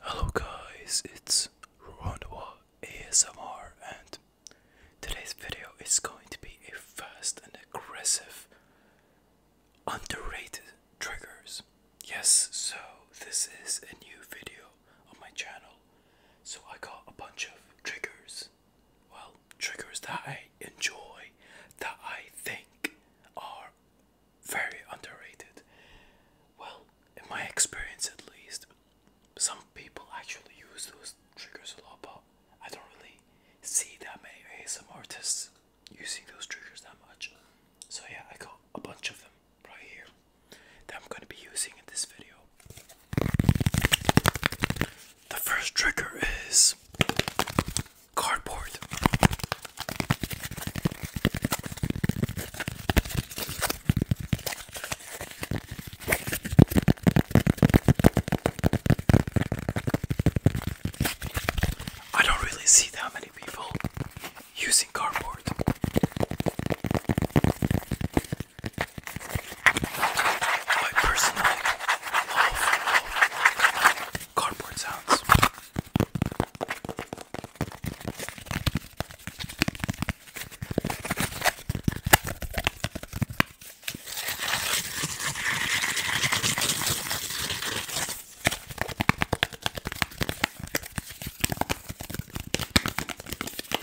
Hello guys, it's Rwandwa ASMR and today's video is going to be a fast and aggressive underrated triggers. Yes, so this is a new video on my channel. So I got a bunch of triggers well, triggers that I enjoy, that I think are very underrated. Well, in my experience at least, some people actually use those triggers a lot, but I don't really see that many some artists using those triggers that much. So, yeah, I got a bunch of them right here that I'm going to be using in this video. The first trigger is cardboard. I don't really see that many people using cardboard. I personally love cardboard sounds.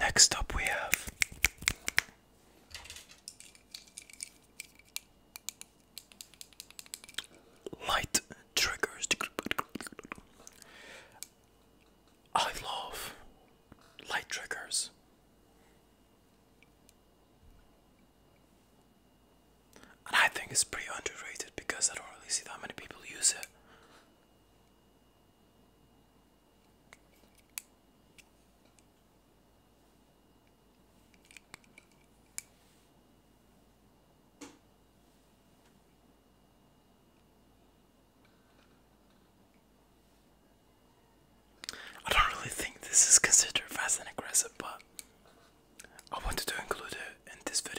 Next up, we have light triggers. I love light triggers. I think it's pretty underrated because I don't really see how many people use it. I don't really think this is considered fast and aggressive, but I wanted to include it in this video.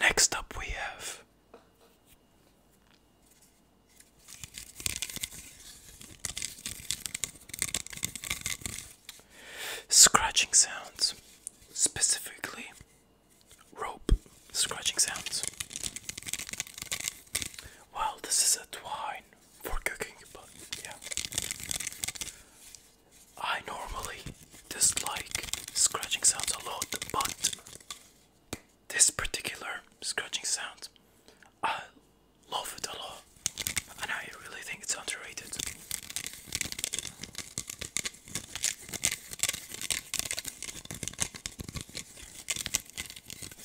Next up, we have scratching sounds, specifically rope scratching sounds. Well, this is a twine for cooking, but yeah. I normally dislike scratching sounds a lot, but this particular scratching sound, I love it a lot, and I really think it's underrated.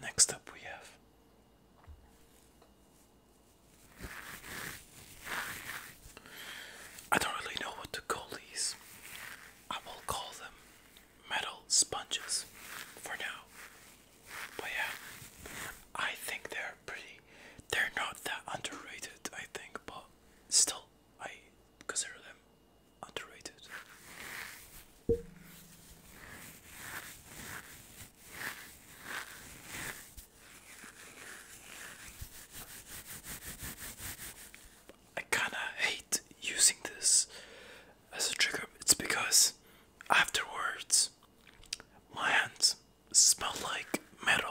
Next up, we have I don't really know what to call these. I will call them metal sponges for now. But yeah, I think they're pretty. They're not that underrated, I think, but still, I consider them underrated. I kinda hate using this as a trigger, it's because afterwards my hands smell like metal.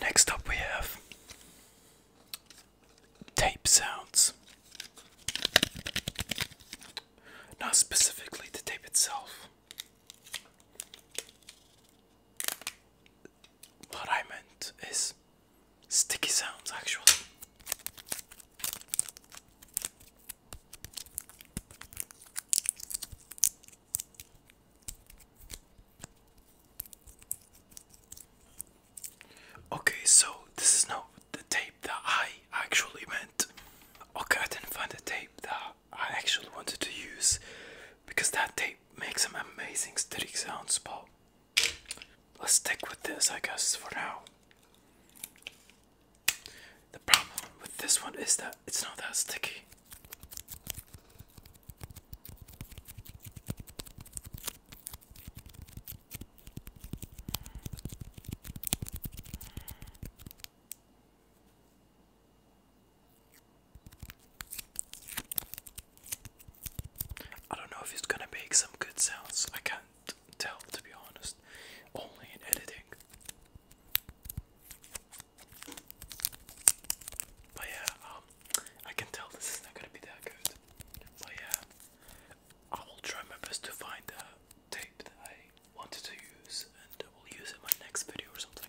Next up, we have tape sounds. Not specifically the tape itself, what I meant is sticky sounds actually. Okay, so this is not the tape that I actually meant. Okay, I didn't find the tape that I actually wanted to use because that tape makes some amazing static sounds, but let's stick with this, I guess, for now. The problem with this one is that it's not that sticky. I don't know if it's gonna make some good sounds. I can't tell to be honest. Only in editing. But yeah, um, I can tell this is not gonna be that good. But yeah, I will try my best to find the tape that I wanted to use, and I will use it in my next video or something.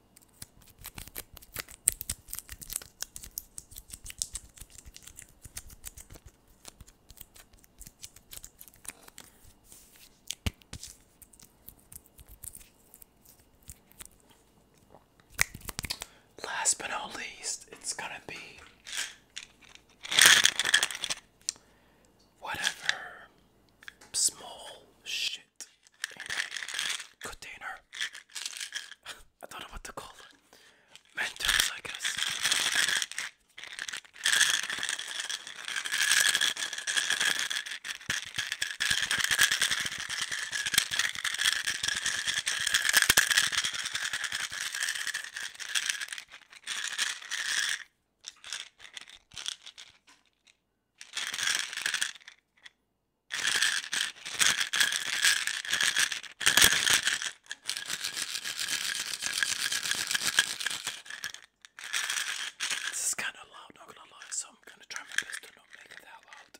Last but not least, it's gonna be whatever small shoe container. I don't know what to call it. Mentos, I guess. This is kind of loud, not gonna lie, so I'm gonna try my best to not make it that loud.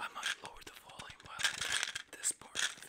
I might lower the volume while I play this part of the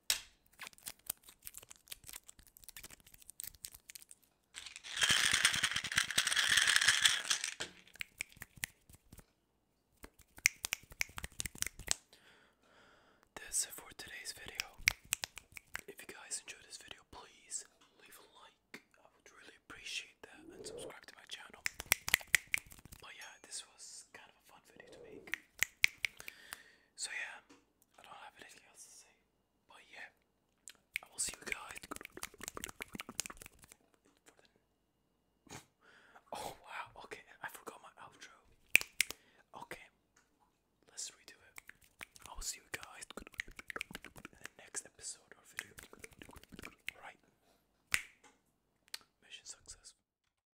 This it for today's video. If you guys enjoyed this video, please leave a like. I would really appreciate that and subscribe to my channel. But yeah, this was kind of a fun video to make. So yeah, I don't have anything else to say. But yeah, I will see you guys oh wow! Okay, I forgot my outro. Okay, let's redo it. I will see you guys in the next episode or video. All right, mission successful.